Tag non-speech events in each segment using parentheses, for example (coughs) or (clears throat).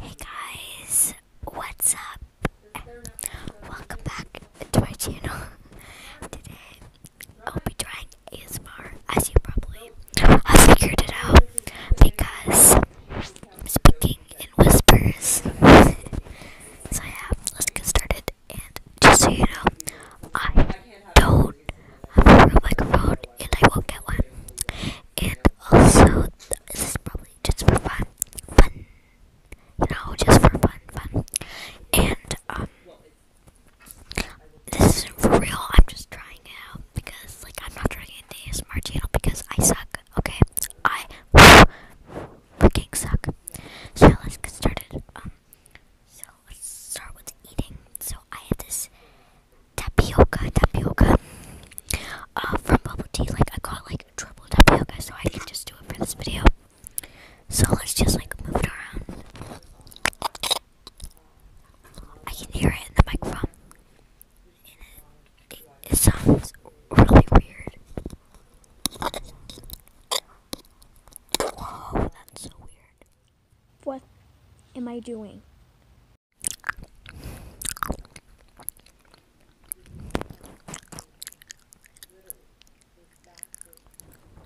Hey guys, what's up? Welcome back to my channel. Today, I'll be trying ASMR, as you probably have figured it out, because I'm speaking in whispers. so yeah, let's get started, and just so you know, I don't have a real microphone, and I will get one, and also, this is probably just for fun, fun, you know, just for fun, fun, and, um, this isn't for real, I'm just trying it out, because, like, I'm not trying to in the smart channel, because I suck, okay, I freaking suck, so let's get started, um, so let's start with eating, so I have this tapioca, tapioca uh, from bubble tea. Like I got like triple tapioca, so I can just do it for this video. So let's just like move it around. I can hear it in the microphone. it, it sounds really weird. Whoa, that's so weird. What am I doing?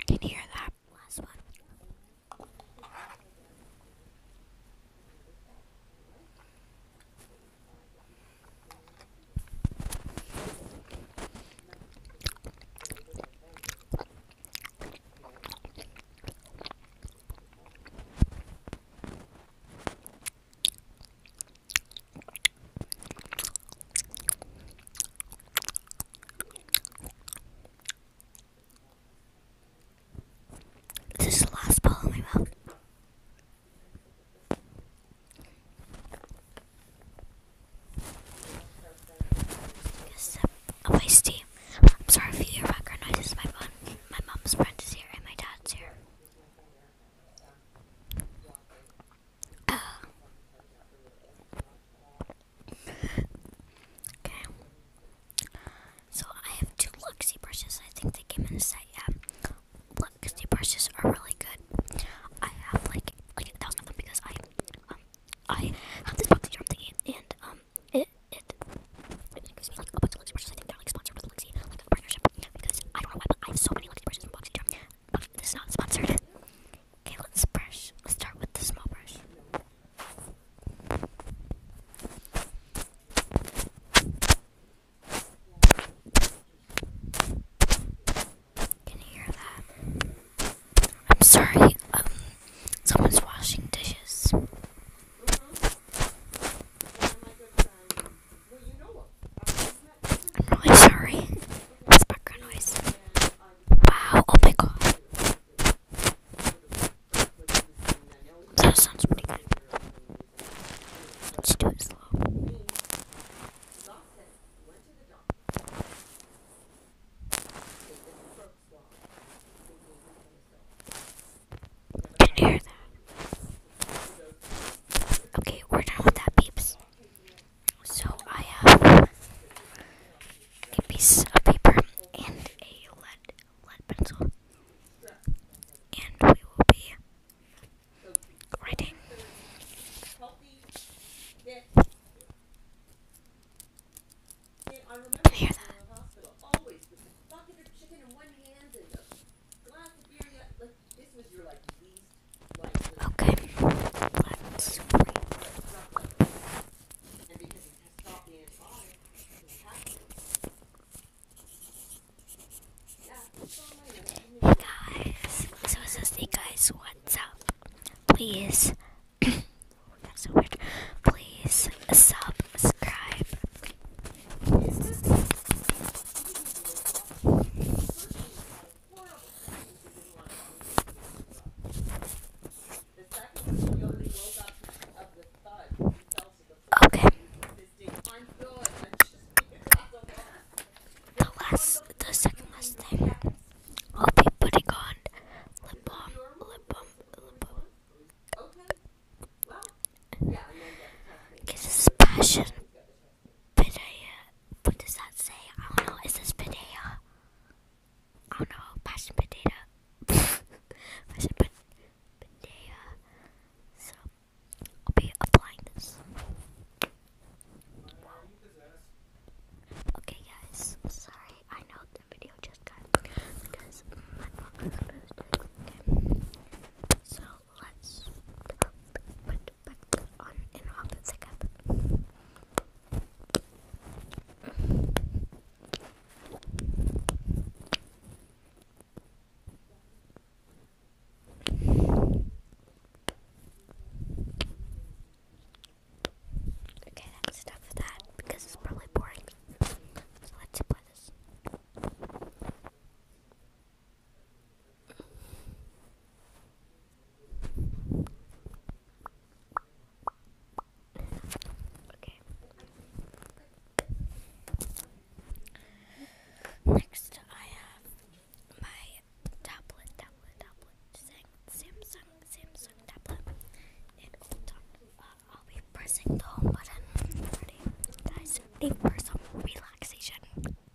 Can you hear that last one? This is the last ball in my mouth. Yes, a wasty. I'm sorry for your background noise. My mom, my mom's friend is here, and my dad's here. (coughs) okay. So I have two Luxy brushes. I think they came in a set. Yeah, Luxy brushes are really good. I have like like that of them because I um I have this box here i and um it it I don't know why, but I have so many Luxie brushes from Boxy this is not sponsored. Okay, let's brush. Let's start with the small brush. Can you hear that? I'm sorry, um, someone's washing dishes. I'm really sorry. It's background noise. Wow, oh my god. That sounds pretty good. Let's do it slow. Can you hear that? Okay, we're done with that, beeps. So I have uh, a piece of paper and a lead lead pencil, and we will be writing. Can you hear that? Okay. Let's Hey guys, so it says, hey guys, what's up? Please, (clears throat) that's so weird. Please subscribe Okay. The last, the second last thing. I'll be putting on lip balm, lip balm, lip balm. Because it's passion. Pidea. What does that say? I don't know. Is this Pidea? I don't know. Passion Pidea. (laughs) passion Pidea. So, be applying this. Okay, guys. Sorry. I know the video just got. Because my mom supposed to Okay. So let's put back on in opposite second. Okay, that's enough for that because it's probably boring. So let's play this. Next, I have my tablet, Samsung, Samsung tablet. And hold uh, on, I'll be pressing the home button. guys? Need some relaxation.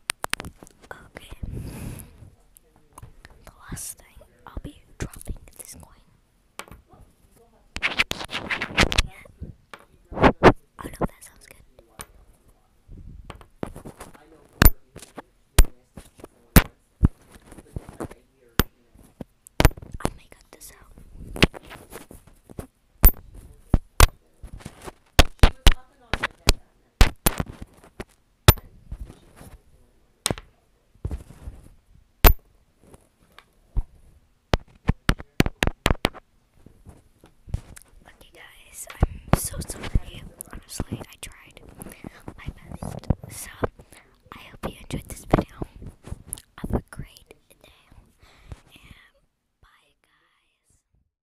Okay. The last thing I'll be dropping this coin. Yeah. Oh no, that sounds good. I may cut this out. Okay, guys, I'm so sorry. Honestly, I tried my best. So, I hope you enjoyed this video. Have a great day. And bye, guys.